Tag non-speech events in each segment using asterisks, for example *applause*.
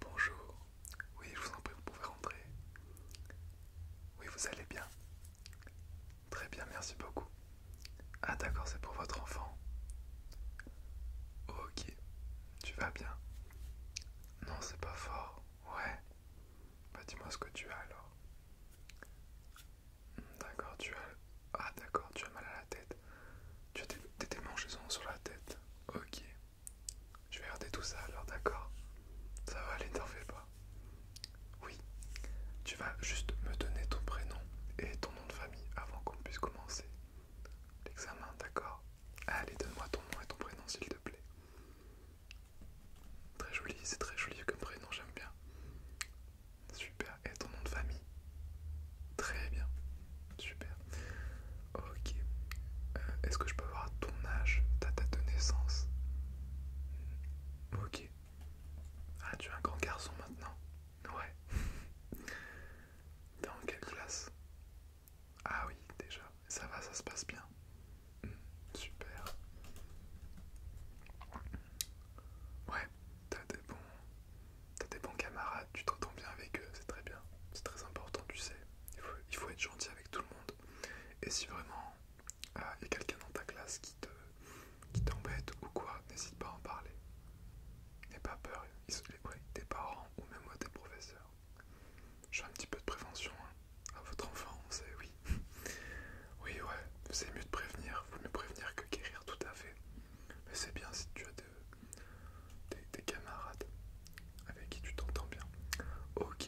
Bonjour, oui je vous en prie, vous pouvez rentrer. Oui vous allez bien. Très bien, merci beaucoup. Ah d'accord, c'est pour votre enfant. Ok, tu vas bien. Non, c'est pas fort. Ouais. Bah dis-moi ce que tu as alors. Hmm, d'accord, tu as... Ah d'accord, tu as mal à la tête. Tu as des, des démangeaisons sur la tête. Ok. Je vais regarder tout ça alors, d'accord Ça va aller, t'en fais pas. Oui, tu vas juste me donner ton prénom et ton nom de famille avant qu'on puisse commencer l'examen, d'accord Allez, donne-moi ton nom et ton prénom, s'il te plaît. Très joli, c'est très joli comme prénom, j'aime bien. Super, et ton nom de famille Très bien. Super. Ok. Euh, est-ce que je peux voir ton âge, ta date de naissance Ok. Ah, tu es un grand garçon maintenant Ouais. *laughs* Dans quelle classe Ah oui, déjà. Ça va, ça se passe bien. Hmm, super. Ouais, t'as des bons t'as des bons camarades, tu t'entends bien avec eux, c'est très bien, c'est très important, tu sais. Il faut, être gentil avec tout le monde. Et si vraiment euh, il y a quelqu'un dans ta classe qui te t'embête ou quoi, n'hésite pas à en parler. N'aie pas peur, ils sont, quoi tes parents ou même moi tes professeurs. Je fais un petit peu de prévention hein. à votre enfant, on oui. *laughs* oui, ouais, c'est mieux de prévenir, faut mieux prévenir que guérir tout à fait. Mais c'est bien si tu as des tes euh, camarades avec qui tu t'entends bien. Ok.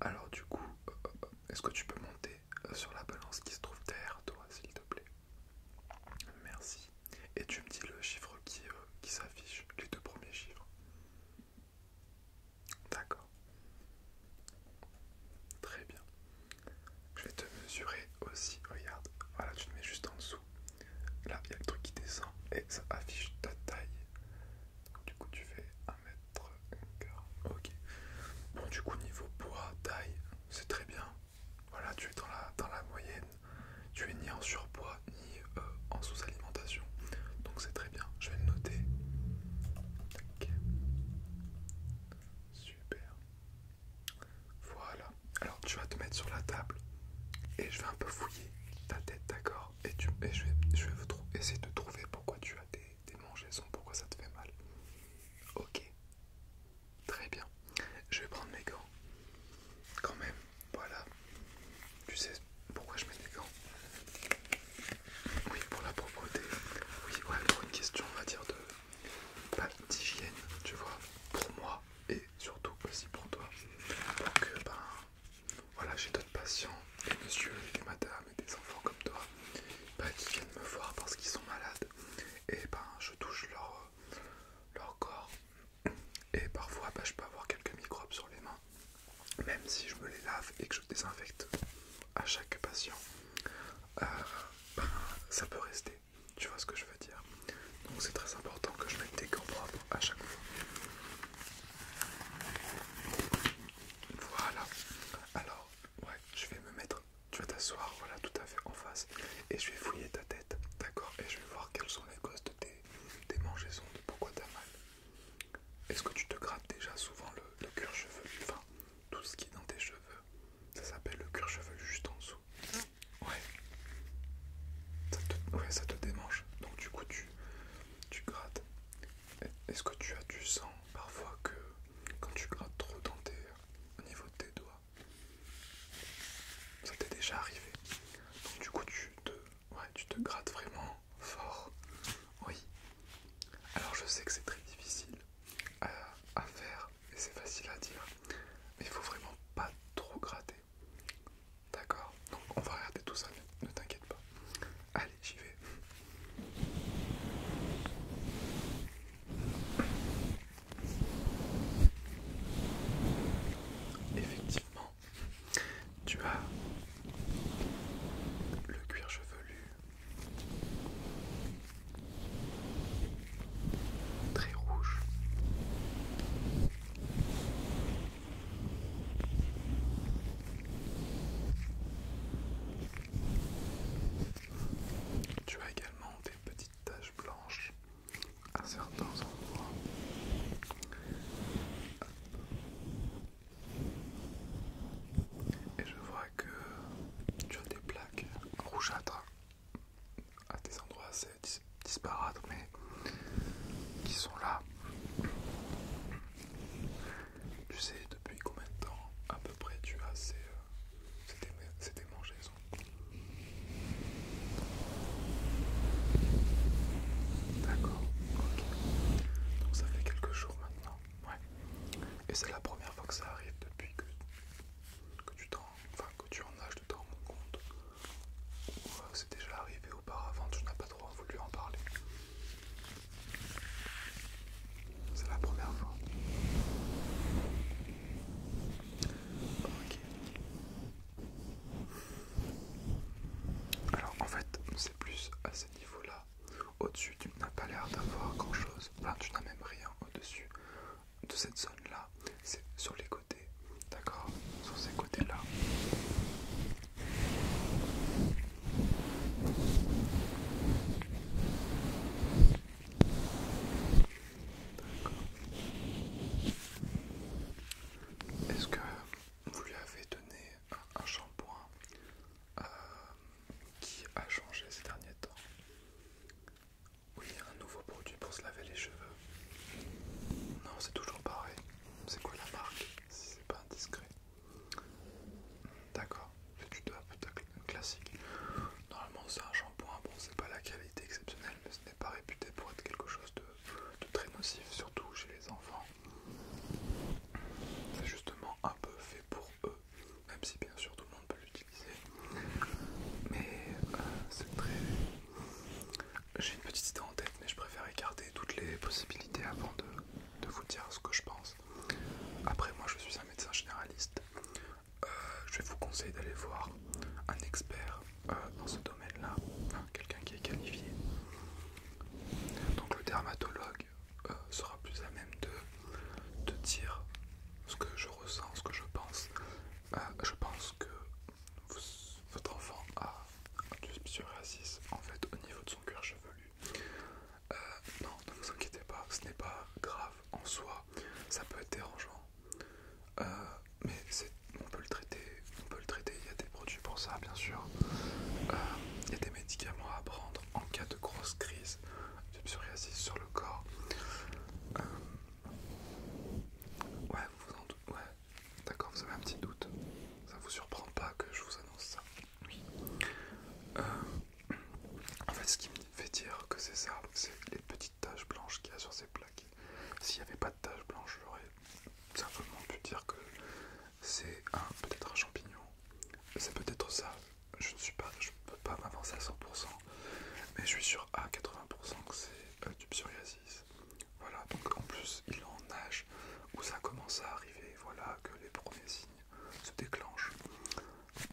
Alors du coup, euh, euh, est-ce que tu peux monter sur la balance qui se trouve derrière toi, s'il te plaît Merci. Et tu me dis le chiffre qui, qui s'affiche, les deux premiers chiffres. D'accord. Très bien. Je vais te mesurer aussi, regarde. Voilà, tu te mets juste en dessous. Là, il y a le truc qui descend et ça affiche ta taille. du coup, tu fais 1 mètre. Ok. Bon, du coup, niveau poids, taille, c'est très bien. Voilà, tu es dans la, dans la moyenne. Tu es ni en surpoids ni euh, en sous-alimentation. Donc, c'est très bien. Je vais le noter. Ok. Super. Voilà. Alors tu vas te mettre sur la table et je vais un peu fouiller ta tête, d'accord Et, je vais, essayer de trouver pourquoi tu as des, des pourquoi ça te fait mal. Ok. Très bien. Je vais prendre mes gants. Quand même. Voilà. Tu sais pourquoi je mets des gants Oui, pour la propreté. Oui, ouais, pour une question, on va dire, de pas d'hygiène, tu vois, pour moi et surtout aussi pour toi. que euh, ben, voilà, j'ai d'autres patients, des messieurs, et des madames et des enfants comme toi, ben, qui viennent me voir parce qu'ils sont malades et ben je touche leur, leur corps et parfois ben, je peux avoir quelques microbes sur les mains, même si je me les lave et que je désinfecte à chaque patient, euh, ben, ça peut rester. Tu vois ce que je veux dire Donc c'est très important que je mette des gants propres à chaque fois. Voilà. Alors, ouais, je vais me mettre. Tu vas t'asseoir, voilà, tout à fait en face, et je vais fouiller ta tête, d'accord Et je vais voir quelles sont les causes de tes démangeaisons, de pourquoi t'as mal. Est-ce que tu te grattes déjà souvent le, le cuir chevelu Enfin, tout ce qui est dans tes cheveux. Ça s'appelle le cuir chevelu juste en dessous. Ouais. Ça te, ouais, ça te démange. Donc du coup, tu, grattes. Est-ce que tu as du sang parfois que quand tu grattes trop dans tes, au niveau de tes doigts Ça t'est déjà arrivé. Donc du coup, tu te, tu te grattes vraiment fort. Oui. Alors je sais que c'est très difficile euh, à, faire et c'est facile à dire, mais il faut vraiment pas trop gratter. D'accord Donc on va regarder tout ça, ne t'inquiète pas. Allez, j'y vais. Effectivement, tu as le cuir chevelu, très rouge. Tu as également des petites taches blanches à certains endroits. Et je vois que tu as des plaques rougeâtres à des endroits assez disparates, mais qui sont là. Tu sais depuis combien de temps à peu près tu as ces, euh, démangeaisons D'accord, Donc ça fait quelques jours maintenant. Ouais. Et c'est la première fois que ça arrive depuis que, que, tu, en, enfin, que tu en âges de t'en rendre compte. Euh, c'est déjà arrivé auparavant, tu n'as pas trop voulu en parler. C'est la première fois. Ok. Alors en fait, c'est plus à ce niveau-là au-dessus, tu n'as pas l'air d'avoir grand-chose. enfin, tu n'as même rien au-dessus de cette zone-là. C'est sur les côtés, d'accord Sur ces côtés-là. Est-ce que vous lui avez donné un, shampoing euh, qui a changé ces derniers temps. Oui, un nouveau produit pour se laver les cheveux. Non, c'est toujours pareil. C'est quoi la marque Si c'est pas indiscret. D'accord, c'est du de classique. Normalement, c'est un shampoing. Bon, c'est pas la qualité exceptionnelle, mais ce n'est pas réputé pour être quelque chose de très nocif, surtout chez les enfants. C'est justement un peu fait pour eux, même si bien sûr tout le monde peut l'utiliser. Mais euh, c'est très. J'ai une petite idée en tête, mais je préfère écarter toutes les possibilités avant de, vous dire ce que je pense. Après, moi je suis un médecin généraliste. Euh, je vais vous conseiller d'aller voir un expert euh, dans ce domaine-là, hein, quelqu'un qui est qualifié. Donc le dermatologue euh, sera plus à même de, de dire ce que je ressens, ce que je pense. Euh, je pense que votre enfant a du psoriasis en fait au niveau de son cuir chevelu. non, ne vous inquiétez pas, ce n'est pas grave en soi, ça peut être dérangeant mais on peut le traiter, on peut le traiter, il y a des produits pour ça bien sûr, euh, il y a des médicaments à prendre en cas de grosse crise de psoriasis sur le corps. Euh, ouais, vous en ouais, d'accord, vous avez un petit doute, ça vous surprend pas que je vous annonce ça, euh, en fait, ce qui me fait dire que c'est ça, c'est les petites taches blanches qu'il y a sur ces plaques. S'il n'y avait pas de taches blanches, simplement pu dire que c'est un peut-être un champignon, c'est peut-être ça, je ne suis pas, je peux pas m'avancer à 100%, mais je suis sûr à 80% que c'est euh, du psoriasis. Voilà, donc en plus il en âge où ça commence à arriver, voilà que les premiers signes se déclenchent.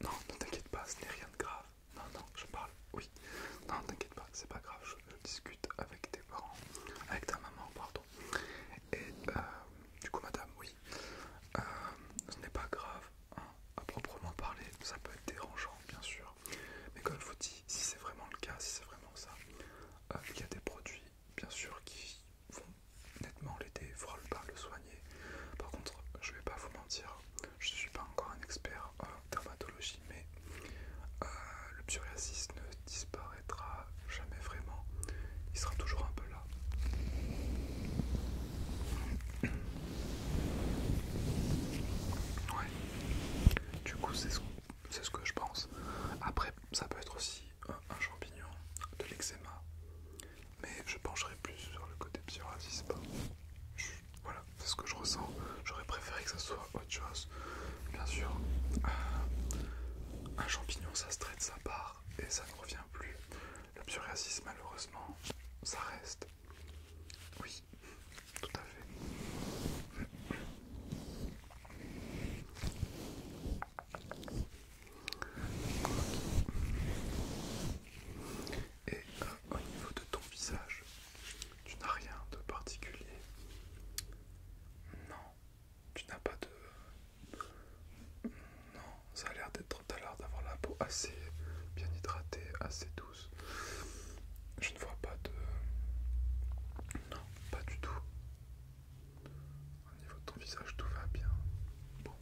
Non, ne t'inquiète pas, ce n'est rien de grave. Non, non, je parle, oui, non, t'inquiète pas, c'est pas grave, je, discute avec tes parents, avec ta maman, pardon. Et euh, du coup, madame, oui, euh, ce n'est pas grave hein, à proprement parler, ça peut être dérangeant, bien sûr. Mais comme je vous dis, si c'est vraiment le cas, si c'est vraiment ça, euh, il y a des produits, bien sûr, qui vont nettement l'aider, faudra pas le soigner. Par contre, je vais pas vous mentir, je suis pas encore un expert en dermatologie mais euh, le psoriasis ne disparaîtra jamais vraiment. Il sera toujours un peu là. Ouais. Du coup, c'est ce, que je pense. Après, ça peut être aussi un, champignon, de l'eczéma, mais je pencherai plus sur le côté psoriasis. Voilà, c'est ce que je ressens. J'aurais préféré que ça soit autre chose. Bien sûr, euh, un champignon, ça se traite, sa part et ça ne revient plus. Le psoriasis, malheureusement, ça reste. Oui, tout à fait. Et au niveau de ton visage, tu n'as rien de particulier. Non, tu n'as pas de... Non, ça a l'air d'être... à l'air d'avoir la peau assez bien hydratée, assez douce. Je ne vois pas de... Non, pas du tout. Au niveau de ton visage, tout va bien. Bon,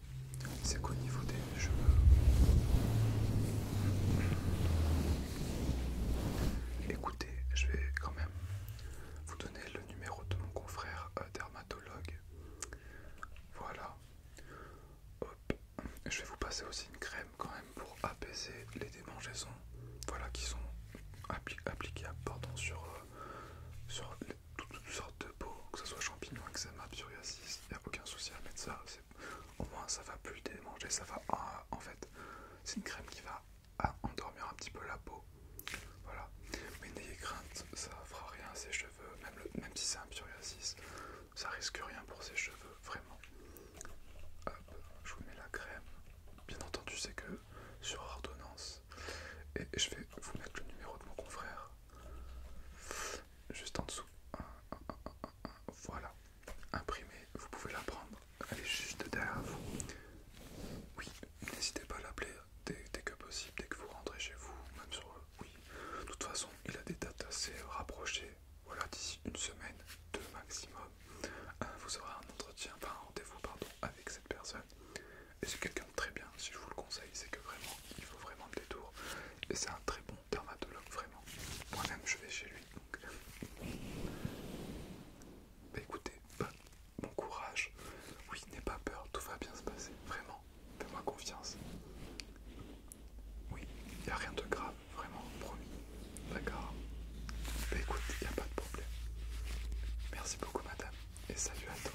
c'est qu'au niveau des je... Écoutez, je vais quand même vous donner le numéro de mon confrère euh, dermatologue. Voilà. Hop. Je vais vous passer aussi une crème quand même pour apaiser les démangeaisons. Voilà qui sont appliquables pardon, sur, euh, sur toutes, sortes de peaux, que ce soit champignons, eczéma, psoriasis, il n'y a aucun souci à mettre ça, au moins ça va plus démanger, ça va ah, en, fait, c'est une crème qui va ah, endormir un petit peu la peau. Voilà, mais n'ayez crainte, ça fera rien à ses cheveux, même, même si c'est un psoriasis, ça risque rien pour ses cheveux, vraiment. Hop, je vous mets la crème, bien entendu, c'est que sur ordonnance, et je vais vous mettre le numéro de mon confrère juste en dessous. Voilà, imprimé, vous pouvez la prendre, elle est juste derrière vous. Oui, n'hésitez pas à l'appeler dès, que possible, dès que vous rentrez chez vous, même sur eux, oui. De toute façon, il a des dates assez rapprochées, voilà, d'ici une semaine, deux maximum. Vous aurez un entretien, enfin un rendez-vous, pardon, avec cette personne. Et c'est quelqu'un de très bien, si je vous le conseille, c'est que vraiment, il faut vraiment le détour. Et c'est un très bon dermatologue, vraiment. Moi-même, je vais chez lui. Bah écoutez, bah, bon courage. Oui, n'aie pas peur, tout va bien se passer. Vraiment, fais-moi confiance. Oui, il n'y a rien de grave, vraiment, promis. D'accord Bah écoute, il n'y a pas de problème. Merci beaucoup, madame, et salut à toi.